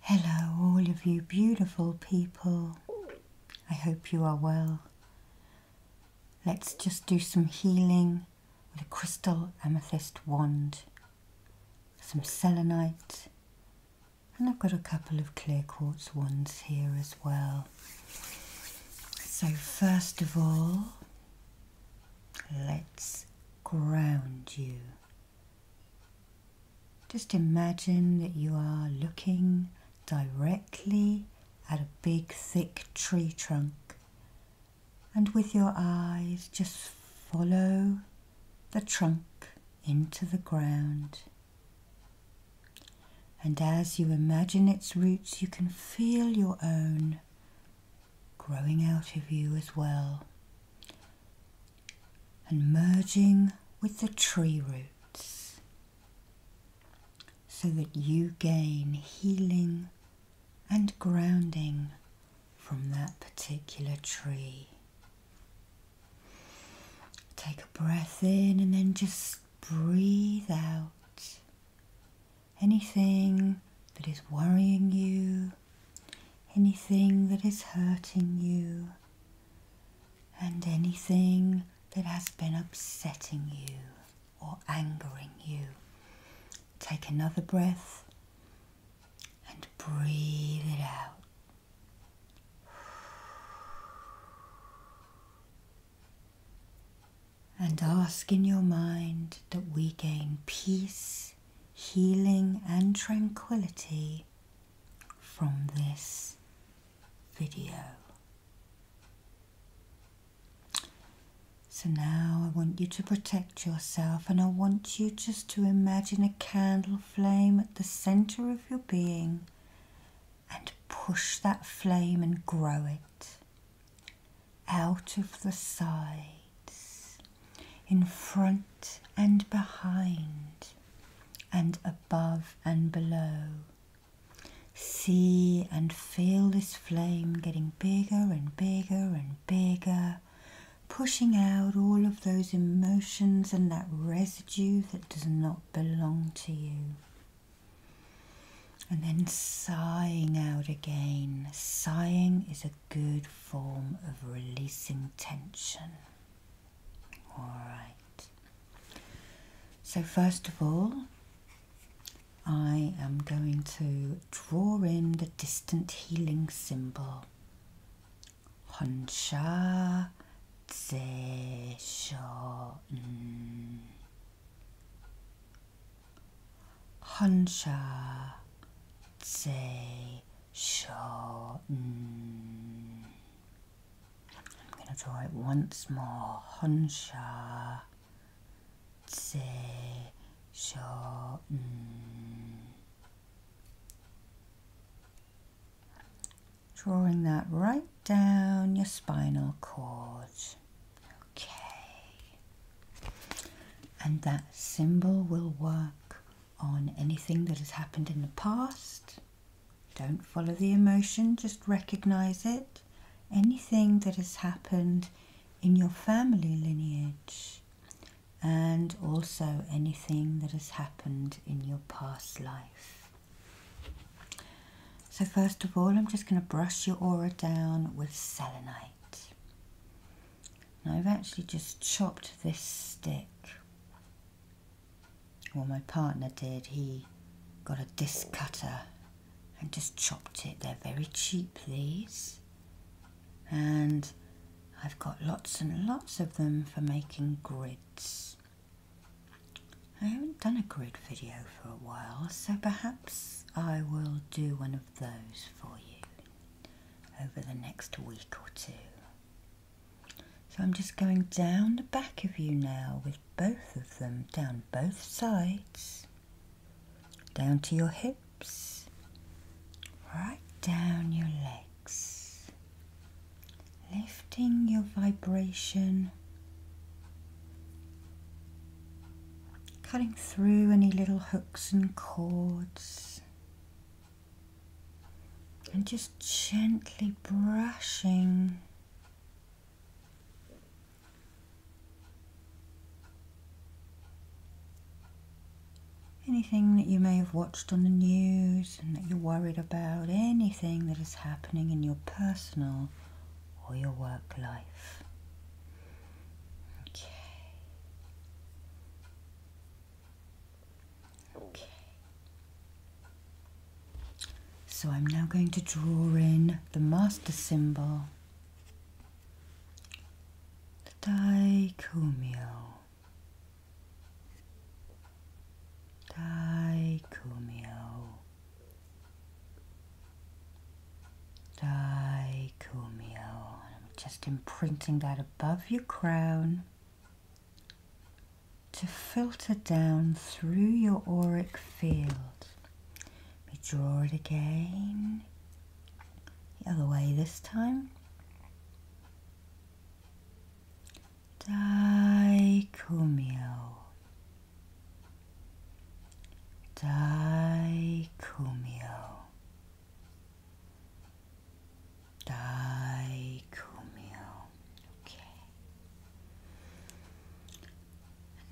Hello, all of you beautiful people. I hope you are well. Let's just do some healing with a crystal amethyst wand, some selenite, and I've got a couple of clear quartz wands here as well. So, first of all, let's ground you. Just imagine that you are looking directly at a big thick tree trunk and with your eyes just follow the trunk into the ground. And as you imagine its roots, you can feel your own growing out of you as well and merging with the tree roots so that you gain healing and grounding from that particular tree. Take a breath in and then just breathe out anything that is worrying you, anything that is hurting you, and anything that has been upsetting you or angering you. Take another breath and breathe it out and ask in your mind that we gain peace, healing, and tranquility from this video. So now I want you to protect yourself and I want you just to imagine a candle flame at the center of your being and push that flame and grow it out of the sides, in front and behind, and above and below. See and feel this flame getting bigger and bigger and bigger, pushing out all of those emotions and that residue that does not belong to you and then sighing out again. Sighing is a good form of releasing tension. Alright. So, first of all, I am going to draw in the distant healing symbol. Honsha Tse Huncha, 제 제 쇼. I'm going to draw it once more. 헌샤 제 Drawing that right down your spinal cord. Okay. And that symbol will work on anything that has happened in the past. Don't follow the emotion, just recognize it. Anything that has happened in your family lineage, and also anything that has happened in your past life. So, first of all, I'm just going to brush your aura down with selenite. I've actually just chopped this stick. Well, my partner did. He got a disc cutter and just chopped it. They're very cheap, these. And I've got lots and lots of them for making grids. I haven't done a grid video for a while, so perhaps I will do one of those for you over the next week or two. So I'm just going down the back of you now with both of them down both sides, down to your hips, right down your legs, lifting your vibration cutting through any little hooks and cords, and just gently brushing. Anything that you may have watched on the news and that you're worried about, anything that is happening in your personal or your work life. Okay. Okay. So I'm now going to draw in the master symbol, the daikumyo. Dicomio. I'm just imprinting that above your crown to filter down through your auric field. Let me draw it again. The other way this time. Dicomio. Daikumio Daikumio okay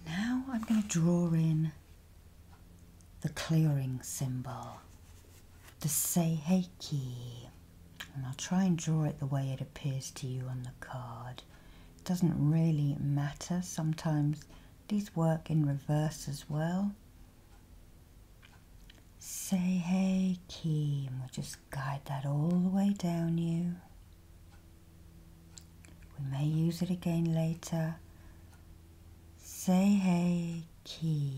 now I'm going to draw in the clearing symbol the Seheki, and I'll try and draw it the way it appears to you on the card it doesn't really matter sometimes these work in reverse as well. Say hey key, we'll just guide that all the way down you. We may use it again later. Say hey key.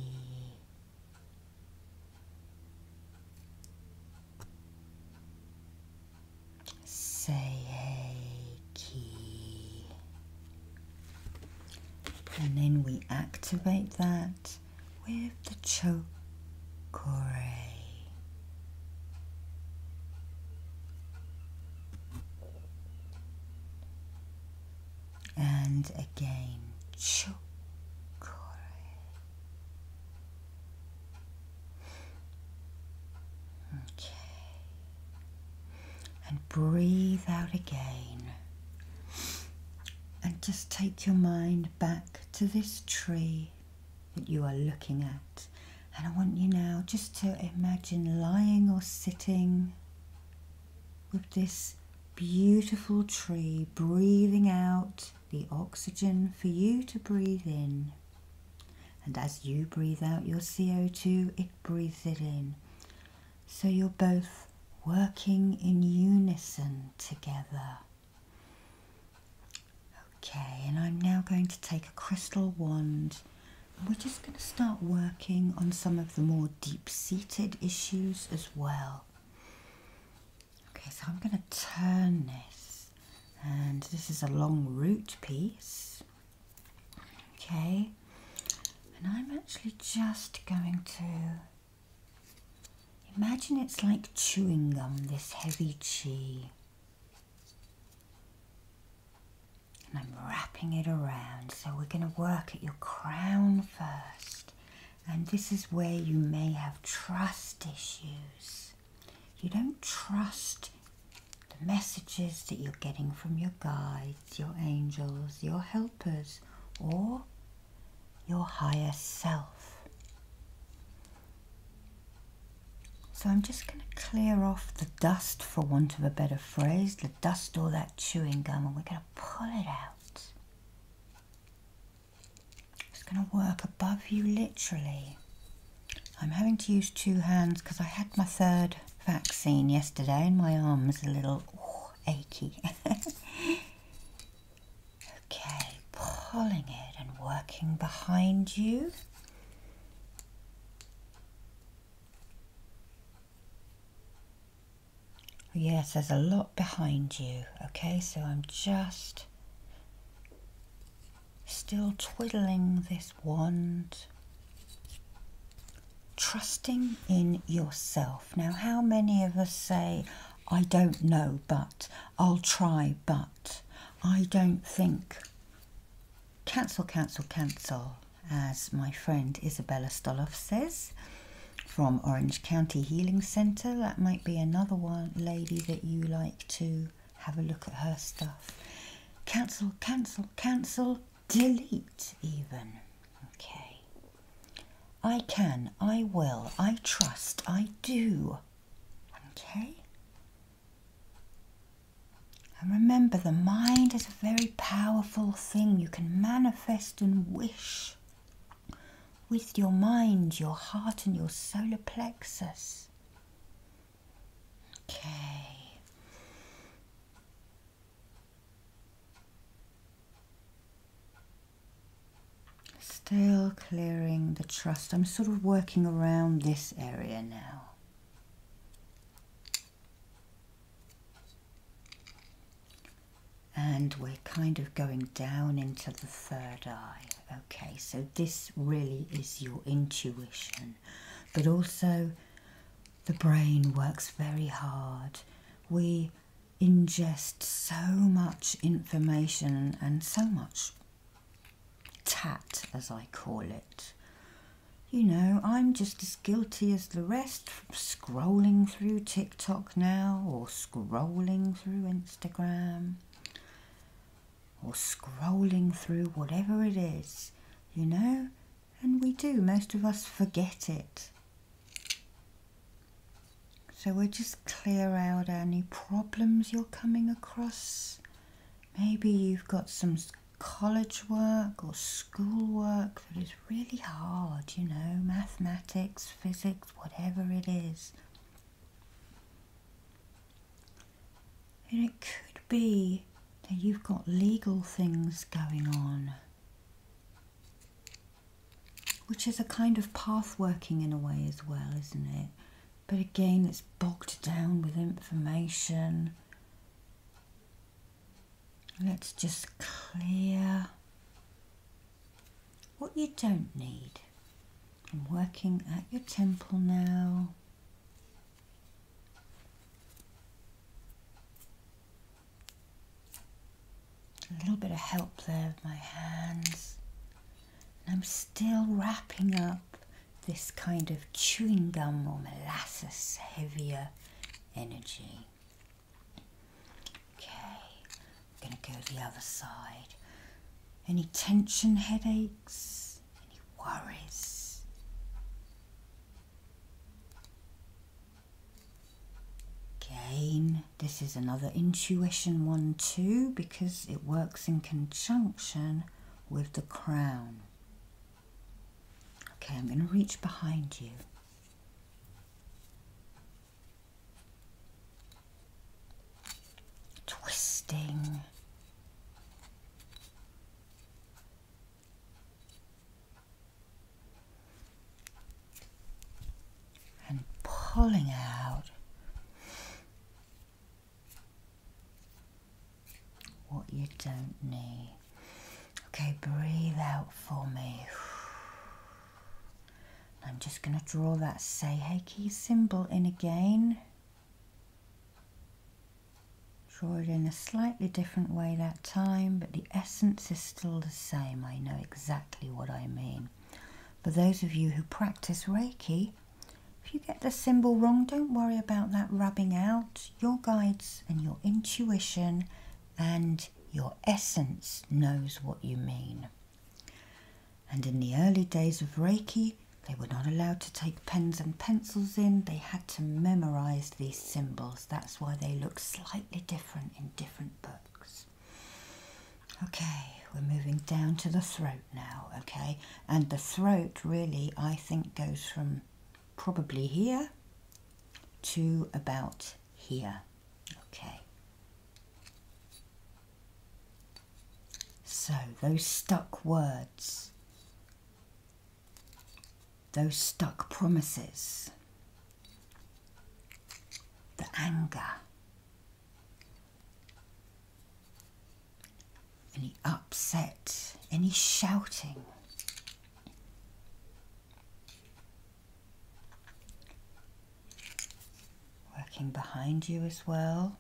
Say key, And then we activate that with the Chokore. And again, Chokore. Okay and breathe out again. And just take your mind back to this tree that you are looking at. And I want you now just to imagine lying or sitting with this beautiful tree, breathing out the oxygen for you to breathe in. And as you breathe out your CO2, Breathe it in. So you're both working in unison together. Okay, and I'm now going to take a crystal wand. We're just going to start working on some of the more deep seated issues as well. Okay, so I'm going to turn this, and this is a long root piece. Okay, and I'm actually just going to imagine it's like chewing gum, this heavy chi. And I'm wrapping it around. So we're going to work at your crown first. And this is where you may have trust issues. You don't trust the messages that you're getting from your guides, your angels, your helpers, or your higher self. So I'm just going to clear off the dust, for want of a better phrase, the dust or that chewing gum, and we're going to pull it out. It's going to work above you literally I'm having to use two hands because I had my third vaccine yesterday and my arm is a little achy. okay, pulling it and working behind you. Yes, there's a lot behind you. Okay, so I'm just Still twiddling this wand. Trusting in yourself. Now, how many of us say, I don't know, but I'll try, but I don't think. Cancel, cancel, cancel, as my friend Isabella Stoloff says from Orange County Healing Centre. That might be another one, lady, that you like to have a look at her stuff. Cancel, cancel, cancel, delete even. Okay. I can, I will, I trust, I do. Okay? And remember, the mind is a very powerful thing. You can manifest and wish with your mind, your heart, and your solar plexus. Okay. Still clearing the trust. I'm sort of working around this area now. And we're kind of going down into the third eye. Okay, so this really is your intuition, but also the brain works very hard. We ingest so much information and so much tat, as I call it. You know, I'm just as guilty as the rest scrolling through TikTok now or scrolling through Instagram or scrolling through whatever it is, you know? And we do, most of us forget it. So we just clear out any problems you're coming across. Maybe you've got some college work or school work that is really hard, you know, mathematics, physics, whatever it is. And it could be that you've got legal things going on, which is a kind of path working in a way as well, isn't it? But again, it's bogged down with information. Let's just clear what you don't need. I'm working at your temple now. A little bit of help there with my hands. And I'm still wrapping up this kind of chewing gum or molasses heavier energy. Okay, I'm going to go the other side. Any tension headache? any worries. Again, this is another intuition one too because it works in conjunction with the crown. Okay, I'm going to reach behind you. Twisting and pulling out what you don't need. Okay, breathe out for me. I'm just going to draw that say key symbol in again. Draw it in a slightly different way that time, but the essence is still the same. I know exactly what I mean. For those of you who practice Reiki, if you get the symbol wrong, don't worry about that rubbing out. Your guides and your intuition and your essence knows what you mean. And in the early days of Reiki, they were not allowed to take pens and pencils in, they had to memorize these symbols. That's why they look slightly different in different books. Okay, we're moving down to the throat now, okay? And the throat really, I think, goes from probably here to about here, okay? So, those stuck words those stuck promises, the anger. Any upset, any shouting. Working behind you as well,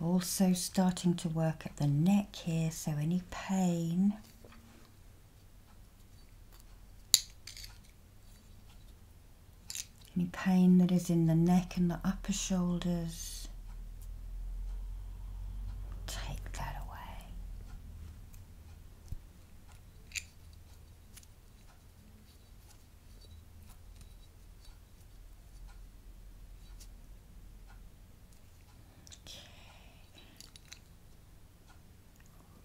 also starting to work at the neck here so any pain any pain that is in the neck and the upper shoulders take that away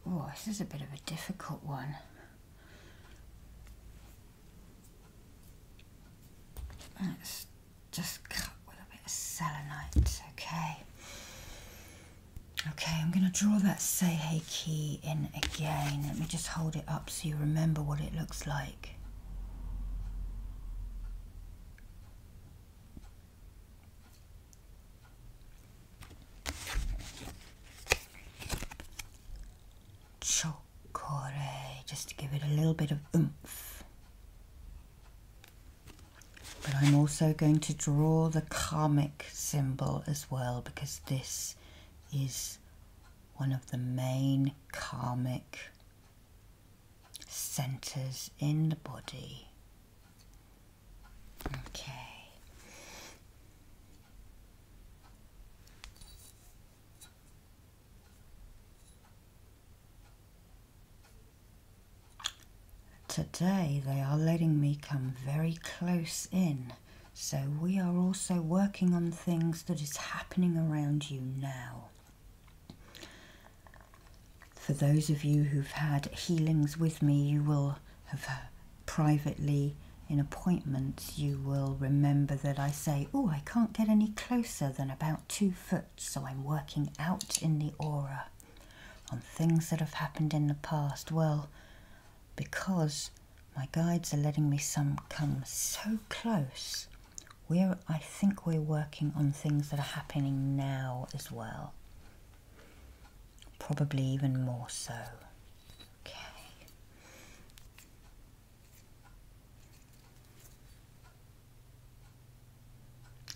Oh, this is a bit of a difficult one. Let's just cut with a bit of selenite, okay? Okay, I'm going to draw that Seihei key in again. Let me just hold it up so you remember what it looks like. Chocolate, just to give it a little bit of oomph. But I'm also going to draw the karmic symbol as well because this is one of the main karmic centers in the body. Okay. Today they are letting me come very close in, so we are also working on things that is happening around you now. For those of you who've had healings with me, you will have privately in appointments, you will remember that I say, Oh, I can't get any closer than about two foot, so I'm working out in the aura on things that have happened in the past. Well, because my guides are letting me some come so close we're, I think we're working on things that are happening now as well. Probably even more so. Okay.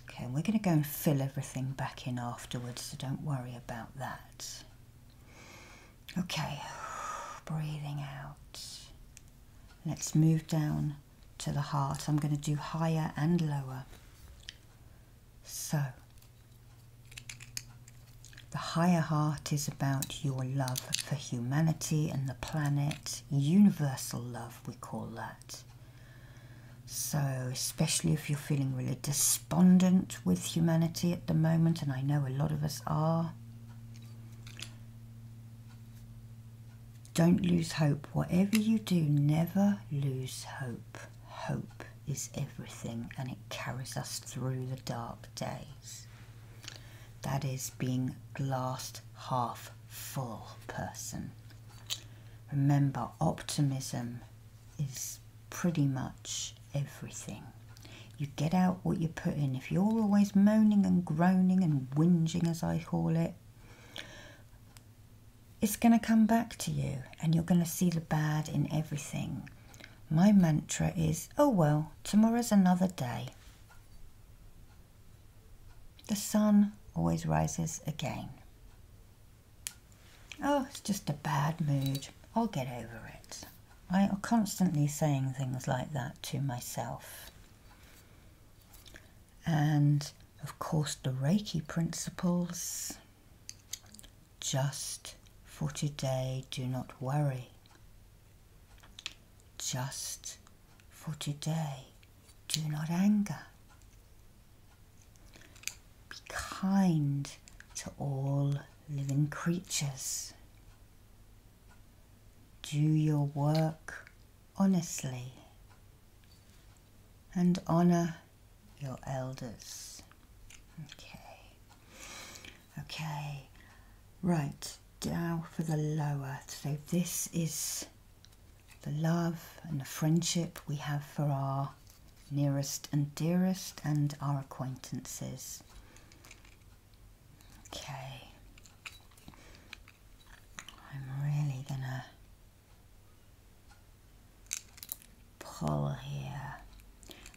Okay, we're going to go and fill everything back in afterwards, so don't worry about that. Okay, breathing out. Let's move down to the heart. I'm going to do higher and lower. So, the higher heart is about your love for humanity and the planet, universal love, we call that. So, especially if you're feeling really despondent with humanity at the moment, and I know a lot of us are, don't lose hope. Whatever you do, never lose hope. Hope is everything and it carries us through the dark days. That is being glassed half full person. Remember, optimism is pretty much everything. You get out what you put in if you're always moaning and groaning and whinging, as I call it, it's going to come back to you and you're going to see the bad in everything. My mantra is, oh well, tomorrow's another day. The sun always rises again. Oh, it's just a bad mood. I'll get over it. I am constantly saying things like that to myself and of course the Reiki principles. Just for today, do not worry. Just for today, do not anger. Be kind to all living creatures. Do your work honestly and honor your elders. Okay. Okay. Right, now for the lower. So this is the love and the friendship we have for our nearest and dearest and our acquaintances. Okay. I'm really gonna pull here.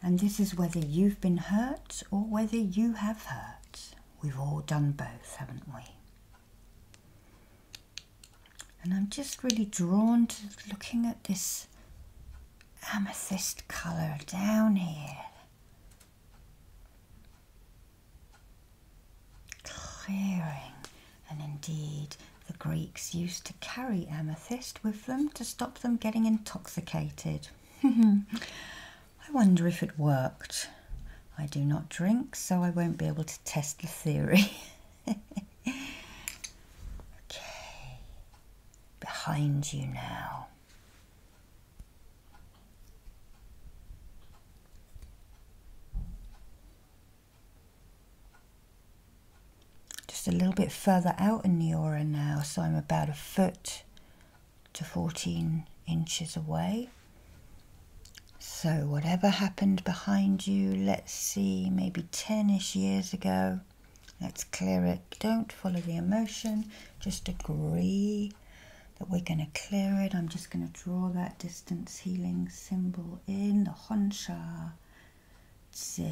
And this is whether you've been hurt or whether you have hurt. We've all done both, haven't we? And I'm just really drawn to looking at this amethyst colour down here. Clearing. And indeed, the Greeks used to carry amethyst with them to stop them getting intoxicated. I wonder if it worked. I do not drink, so I won't be able to test the theory. okay, behind you now. Just a little bit further out in the aura now, so I'm about a foot to 14 inches away. So, whatever happened behind you, let's see, maybe 10 ish years ago, let's clear it. Don't follow the emotion, just agree that we're going to clear it. I'm just going to draw that distance healing symbol in the Honsha Tse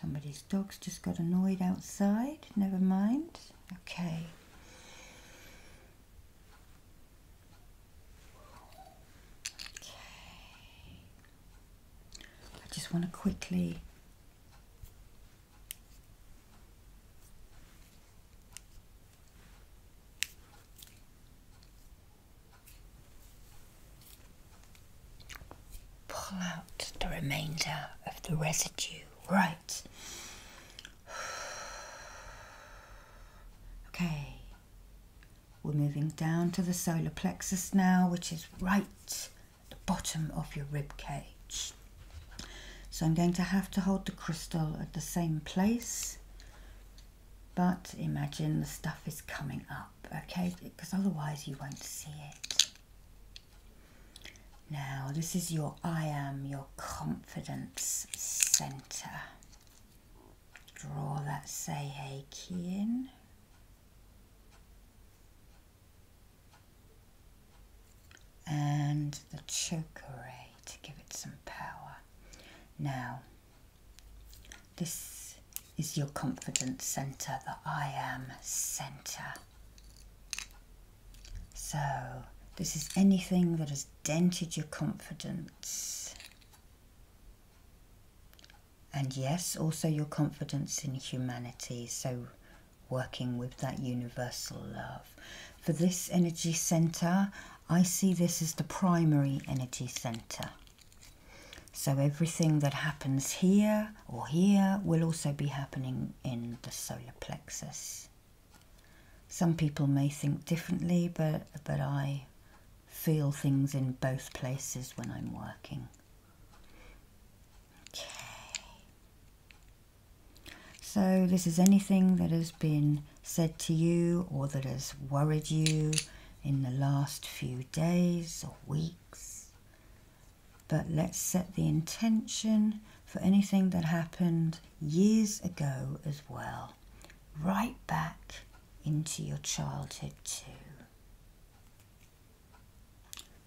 Somebody's dog's just got annoyed outside. Never mind. Okay. Okay. I just want to quickly Pull out the remainder of the residue, right? Okay, we're moving down to the solar plexus now, which is right the bottom of your rib cage. So I'm going to have to hold the crystal at the same place, but imagine the stuff is coming up, okay? Because otherwise you won't see it. Now, this is your I am, your confidence center. Draw that Seihei key in and the chokeray to give it some power. Now, this is your confidence center, the I am center. So, this is anything that has dented your confidence. And yes, also your confidence in humanity. So, working with that universal love. For this energy center, I see this as the primary energy center. So everything that happens here or here will also be happening in the solar plexus. Some people may think differently, but, but I feel things in both places when I'm working. Okay. So, this is anything that has been said to you or that has worried you in the last few days or weeks. But let's set the intention for anything that happened years ago as well, right back into your childhood, too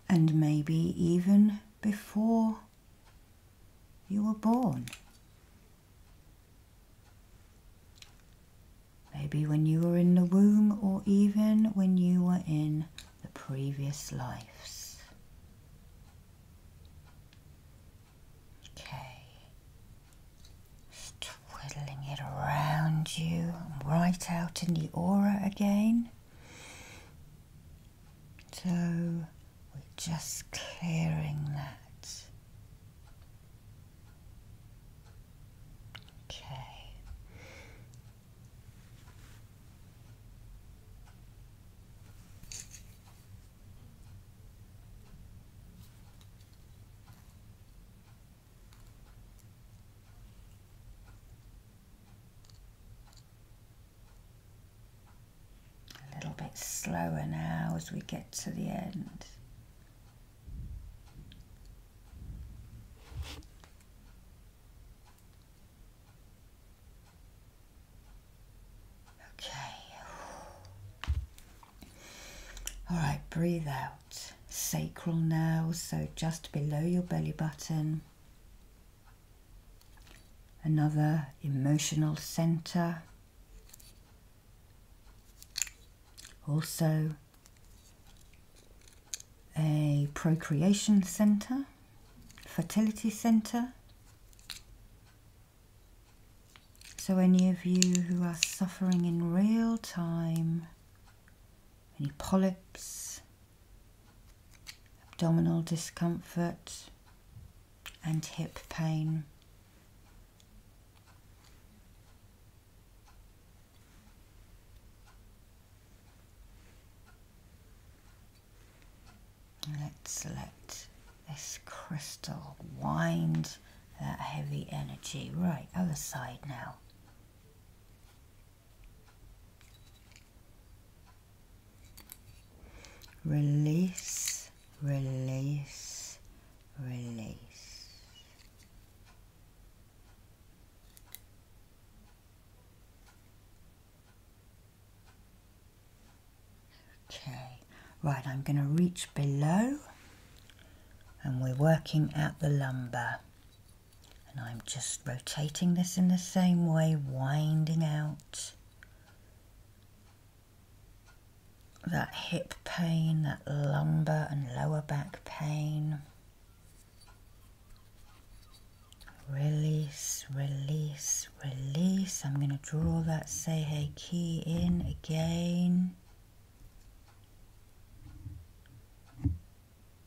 and maybe even before you were born. Maybe when you were in the womb or even when you were in the previous lives. Okay, twiddling it around you, right out in the aura again. So we're just clearing that. Okay. A little bit slower now as we get to the end. Okay. All right, breathe out. Sacral now, so just below your belly button another emotional center, also a procreation center, fertility center. So, any of you who are suffering in real time, any polyps, abdominal discomfort, and hip pain. Let's let this crystal wind that heavy energy right other side now Release, release, release. Okay, right, I'm going to reach below and we're working out the lumbar and I'm just rotating this in the same way, winding out that hip pain, that lumbar and lower back pain. Release, release, release. I'm going to draw that say Seihei key in again.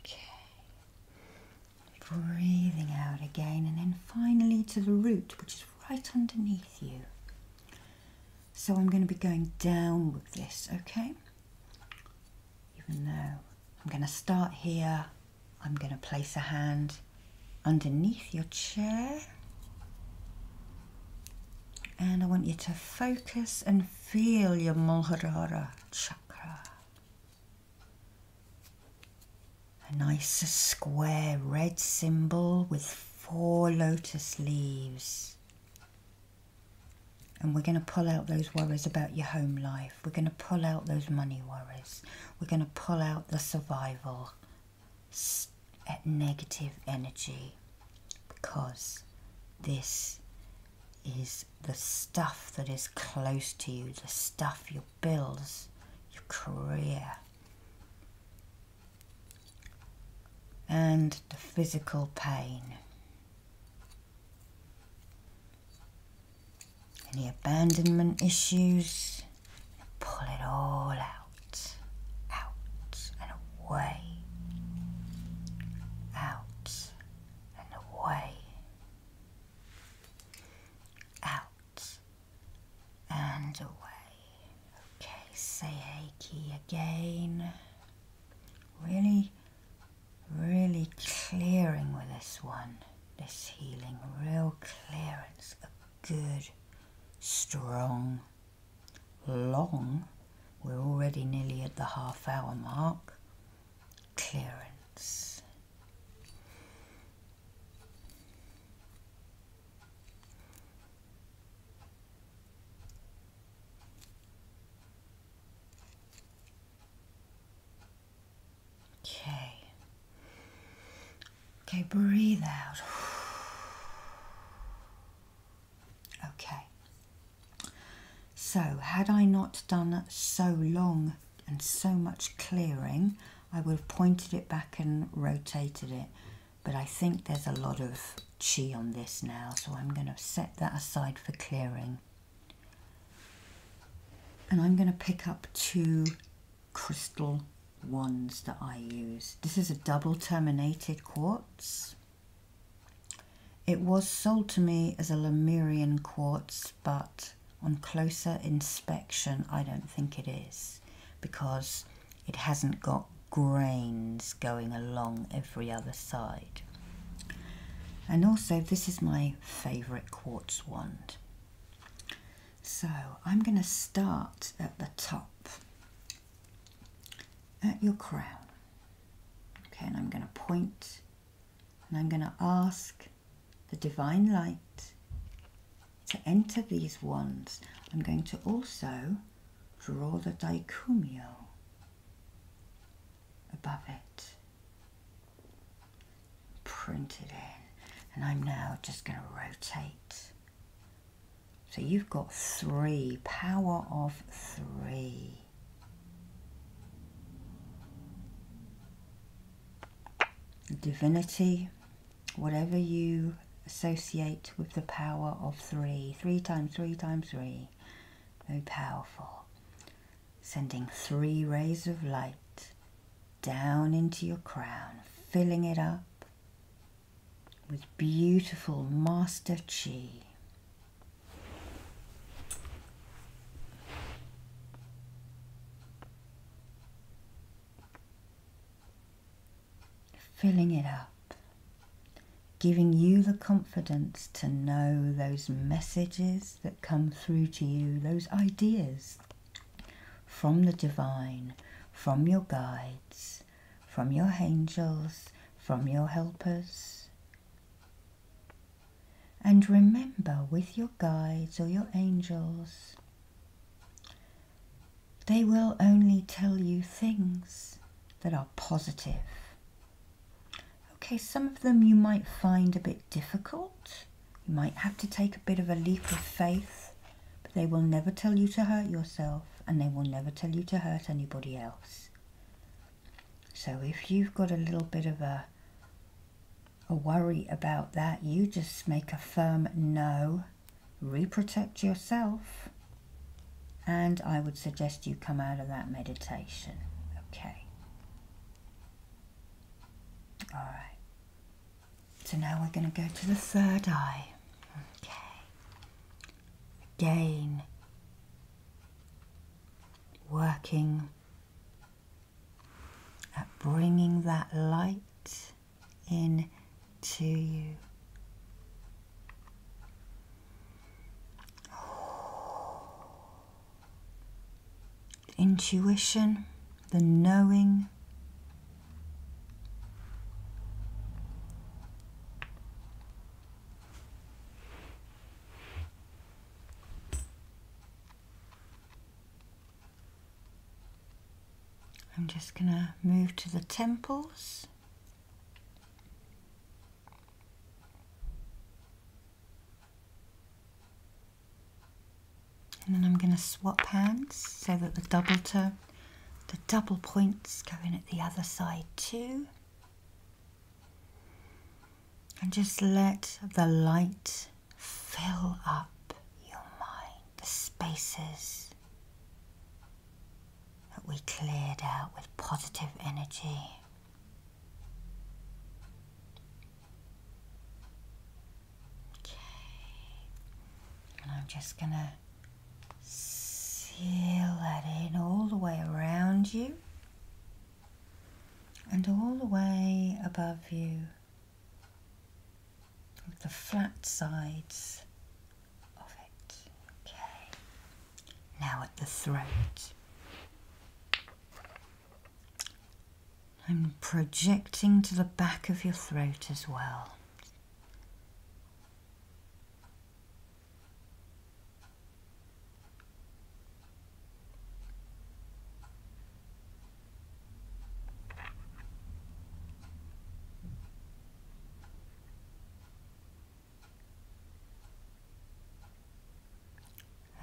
Okay. Breathing out again, and then finally to the root, which is right underneath you. So I'm going to be going down with this, okay? Even though I'm going to start here, I'm going to place a hand underneath your chair. And I want you to focus and feel your Mulharara chakra. A nice square red symbol with four lotus leaves. And we're going to pull out those worries about your home life. We're going to pull out those money worries. We're going to pull out the survival negative energy because this is the stuff that is close to you, the stuff your bills, your career. And the physical pain. Any abandonment issues, pull it all out, out and away, out and away, out and away. Okay, say Heiki again. Really, really clearing with this one, this healing, real clearance, a good, strong, long. We're already nearly at the half hour mark clearance. Okay. Okay, breathe out. Okay. So, had I not done so long and so much clearing, I would have pointed it back and rotated it. But I think there's a lot of chi on this now, so I'm going to set that aside for clearing. And I'm going to pick up two crystal wands that I use. This is a double terminated quartz. It was sold to me as a Lemurian quartz, but on closer inspection, I don't think it is because it hasn't got grains going along every other side. And also, this is my favourite quartz wand. So I'm going to start at the top, at your crown. Okay, and I'm going to point and I'm going to ask the divine light to enter these wands. I'm going to also draw the dicumio above it, print it in, and I'm now just going to rotate. So you've got three, power of three divinity, whatever you associate with the power of three. Three times three times three. Very powerful. Sending three rays of light down into your crown, filling it up with beautiful master chi. Filling it up, giving you the confidence to know those messages that come through to you, those ideas from the divine, from your guides, from your angels, from your helpers, and remember with your guides or your angels, they will only tell you things that are positive. Okay, some of them you might find a bit difficult. You might have to take a bit of a leap of faith, but they will never tell you to hurt yourself and they will never tell you to hurt anybody else. So if you've got a little bit of a, a worry about that, you just make a firm no, reprotect yourself, and I would suggest you come out of that meditation. Okay. All right. So now we're going to go to the third eye. Okay. Again, working at bringing that light in to you. intuition, the knowing. I'm just going to move to the temples. And then I'm going to swap hands so that the double toe, the double points go in at the other side too. And just let the light fill up your mind, the spaces that we cleared out with positive energy. Okay, and I'm just going to seal that in all the way around you and all the way above you the flat sides of it. Okay, now at the throat. I'm projecting to the back of your throat as well.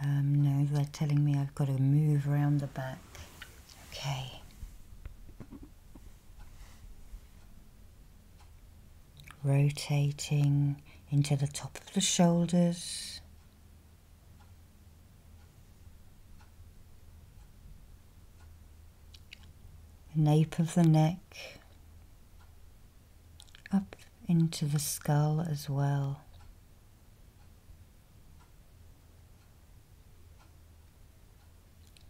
Um, no, they're telling me I've got to move around the back. Okay rotating into the top of the shoulders. nape of the neck, up into the skull as well.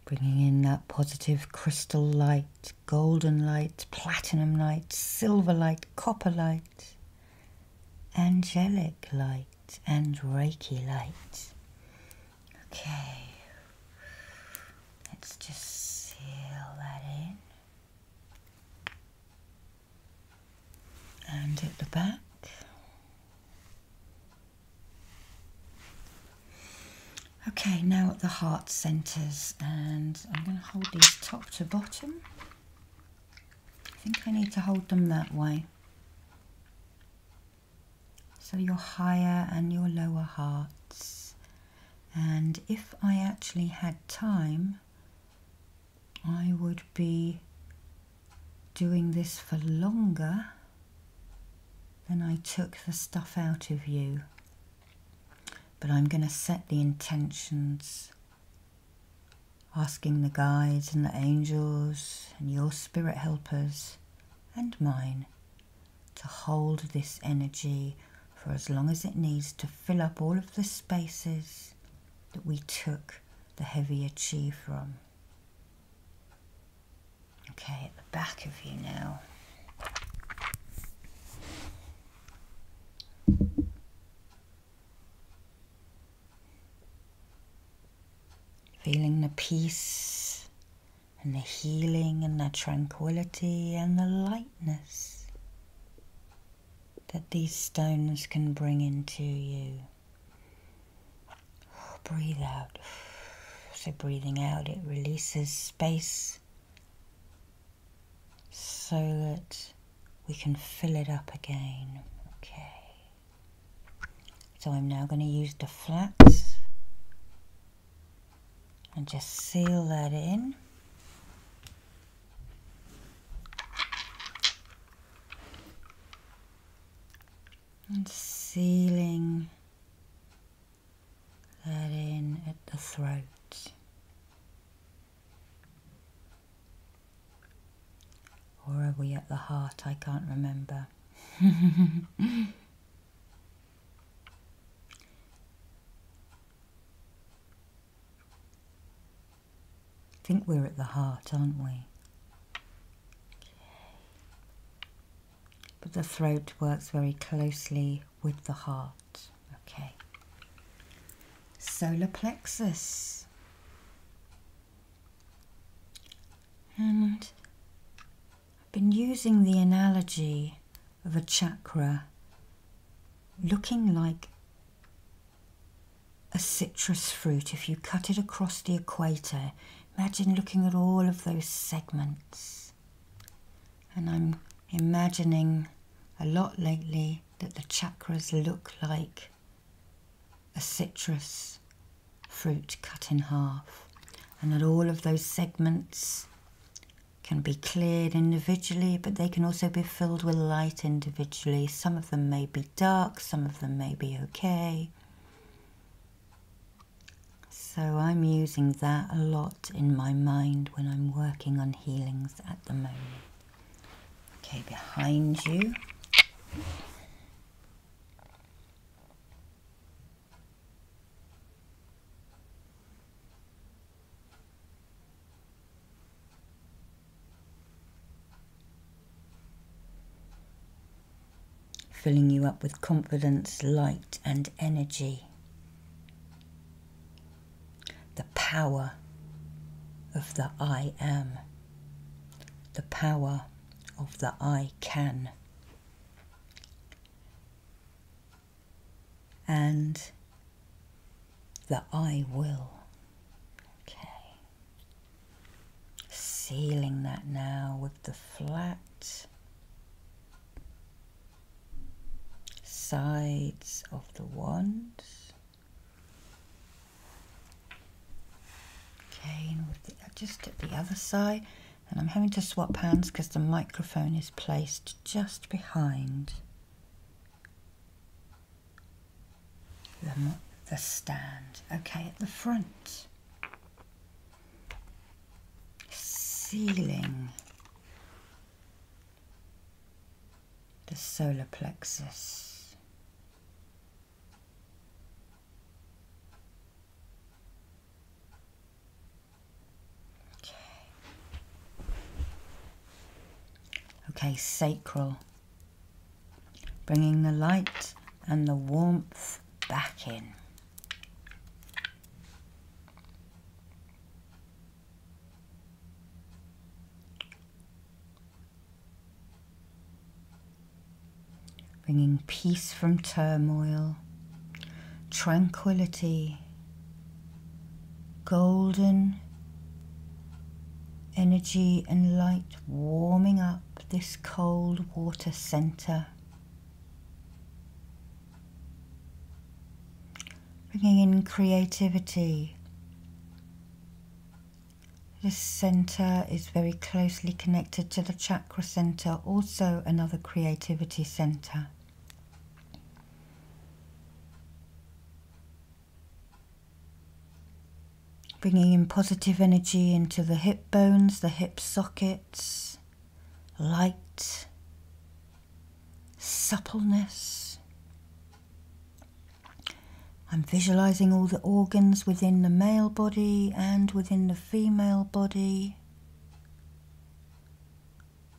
Bringing in that positive crystal light golden light, platinum light, silver light, copper light, angelic light, and Reiki light. Okay, let's just seal that in. And at the back. Okay, now at the heart centres, and I'm going to hold these top to bottom. I think I need to hold them that way. So your higher and your lower hearts. And if I actually had time, I would be doing this for longer than I took the stuff out of you. But I'm going to set the intentions, asking the guides and the angels and your spirit helpers and mine to hold this energy for as long as it needs to fill up all of the spaces that we took the heavier chi from. Okay, at the back of you now. Feeling the peace and the healing and the tranquility and the lightness that these stones can bring into you. Oh, breathe out. So, breathing out, it releases space so that we can fill it up again. Okay. So I'm now going to use the flats and just seal that in. And sealing that in at the throat. Or are we at the heart? I can't remember. I think we're at the heart, aren't we? But the throat works very closely with the heart. Okay. Solar plexus. And I've been using the analogy of a chakra looking like a citrus fruit. If you cut it across the equator, imagine looking at all of those segments. And I'm imagining a lot lately that the chakras look like a citrus fruit cut in half, and that all of those segments can be cleared individually, but they can also be filled with light individually. Some of them may be dark, some of them may be okay. So I'm using that a lot in my mind when I'm working on healings at the moment. Okay, behind you. Filling you up with confidence, light, and energy. The power of the I am, the power of the I can. And the I will. Okay. Sealing that now with the flat sides of the wands. Okay, uh, just at the other side. And I'm having to swap hands because the microphone is placed just behind the, the stand. Okay, at the front ceiling, the solar plexus. Okay, okay sacral, bringing the light and the warmth back in bringing peace from turmoil, tranquility, golden energy and light warming up this cold water center. Bringing in creativity. This center is very closely connected to the chakra center, also another creativity center. bringing in positive energy into the hip bones, the hip sockets, light, suppleness. I'm visualizing all the organs within the male body and within the female body,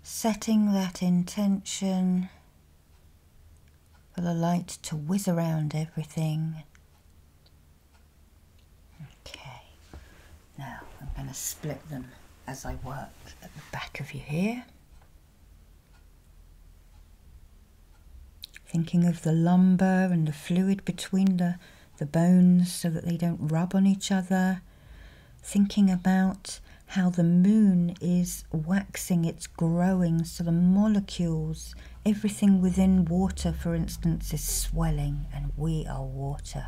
setting that intention for the light to whiz around everything. Okay, now I'm going to split them as I work at the back of you here, Thinking of the lumbar and the fluid between the, the bones so that they don't rub on each other. Thinking about how the moon is waxing, it's growing, so the molecules, everything within water, for instance, is swelling, and we are water.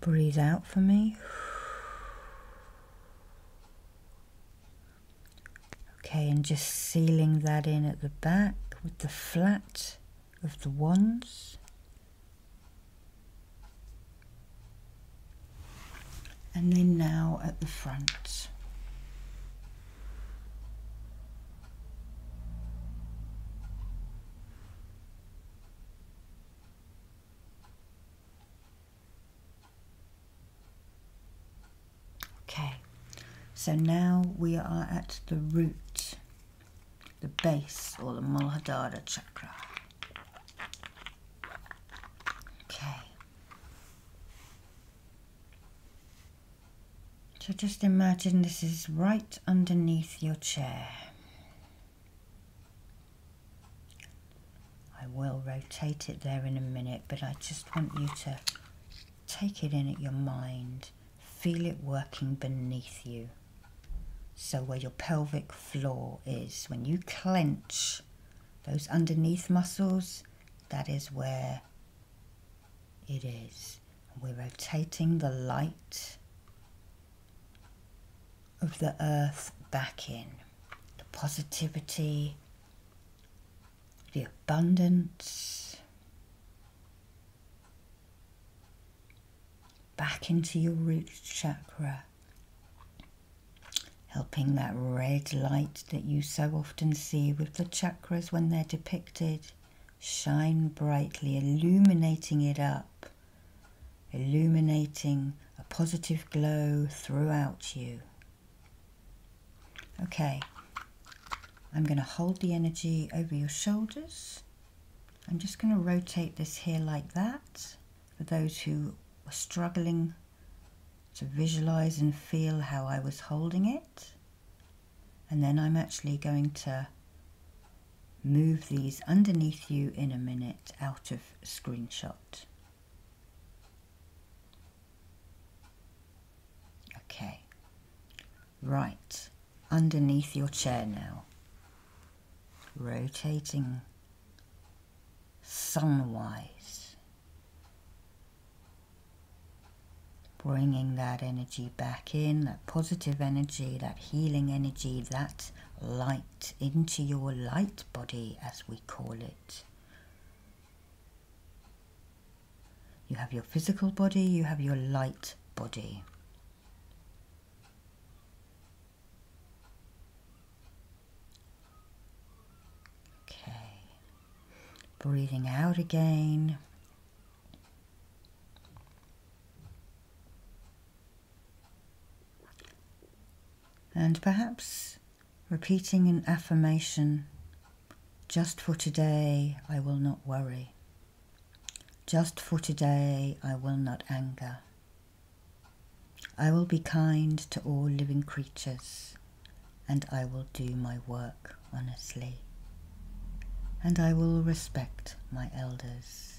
Breathe out for me. Okay, and just sealing that in at the back with the flat of the wands. And then now at the front. Okay, so now we are at the root, the base or the Muladhara chakra. Okay. So just imagine this is right underneath your chair. I will rotate it there in a minute, but I just want you to take it in at your mind, feel it working beneath you. So, where your pelvic floor is, when you clench those underneath muscles, that is where it is. We're rotating the light of the earth back in. The positivity, the abundance, back into your root chakra, helping that red light that you so often see with the chakras when they're depicted shine brightly, illuminating it up, illuminating a positive glow throughout you. Okay, I'm going to hold the energy over your shoulders. I'm just going to rotate this here like that for those who are struggling to visualize and feel how I was holding it. And then I'm actually going to move these underneath you in a minute out of screenshot. Okay, right, underneath your chair now, rotating sunwise, bringing that energy back in, that positive energy, that healing energy, that light into your light body, as we call it. You have your physical body, you have your light body. Okay. Breathing out again and perhaps repeating an affirmation just for today I will not worry. Just for today I will not anger. I will be kind to all living creatures and I will do my work honestly and I will respect my elders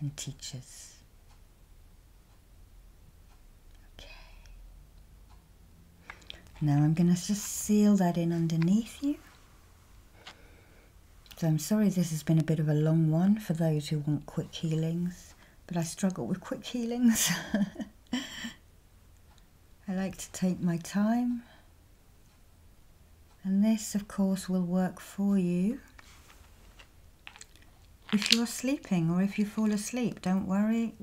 and teachers. Okay. Now I'm going to just seal that in underneath you. So I'm sorry this has been a bit of a long one for those who want quick healings, but I struggle with quick healings. I like to take my time and this of course will work for you if you're sleeping or if you fall asleep don't worry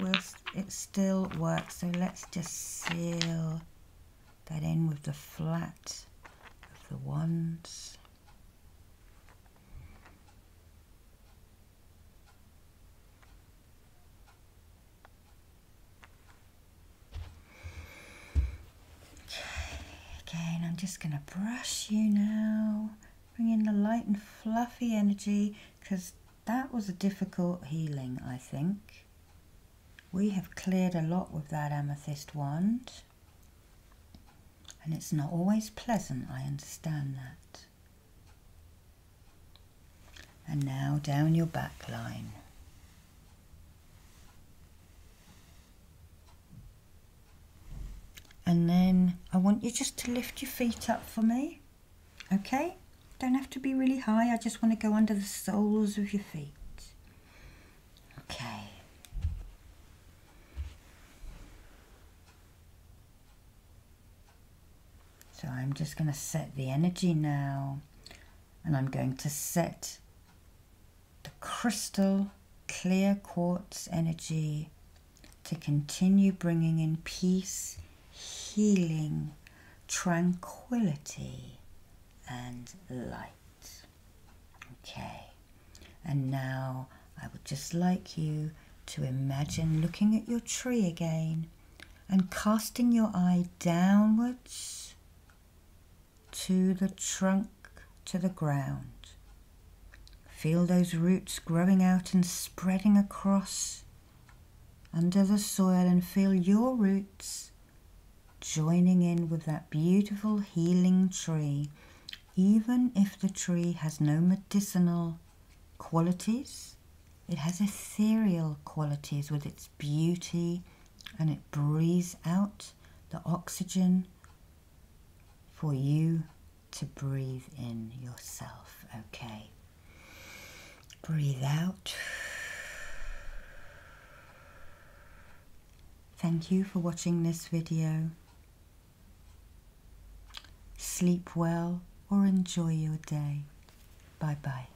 it still works so let's just seal that end with the flat of the ones. Okay, again, I'm just going to brush you now. Bring in the light and fluffy energy because that was a difficult healing, I think. We have cleared a lot with that amethyst wand. And it's not always pleasant, I understand that. And now down your back line. And then I want you just to lift your feet up for me. Okay? Don't have to be really high. I just want to go under the soles of your feet. Okay. So I'm just going to set the energy now and I'm going to set the crystal clear quartz energy to continue bringing in peace, healing, tranquility, and light. Okay, and now I would just like you to imagine looking at your tree again and casting your eye downwards to the trunk, to the ground. Feel those roots growing out and spreading across under the soil and feel your roots joining in with that beautiful healing tree, even if the tree has no medicinal qualities. It has ethereal qualities with its beauty and it breathes out the oxygen for you to breathe in yourself, okay? Breathe out. Thank you for watching this video. Sleep well or enjoy your day. Bye bye.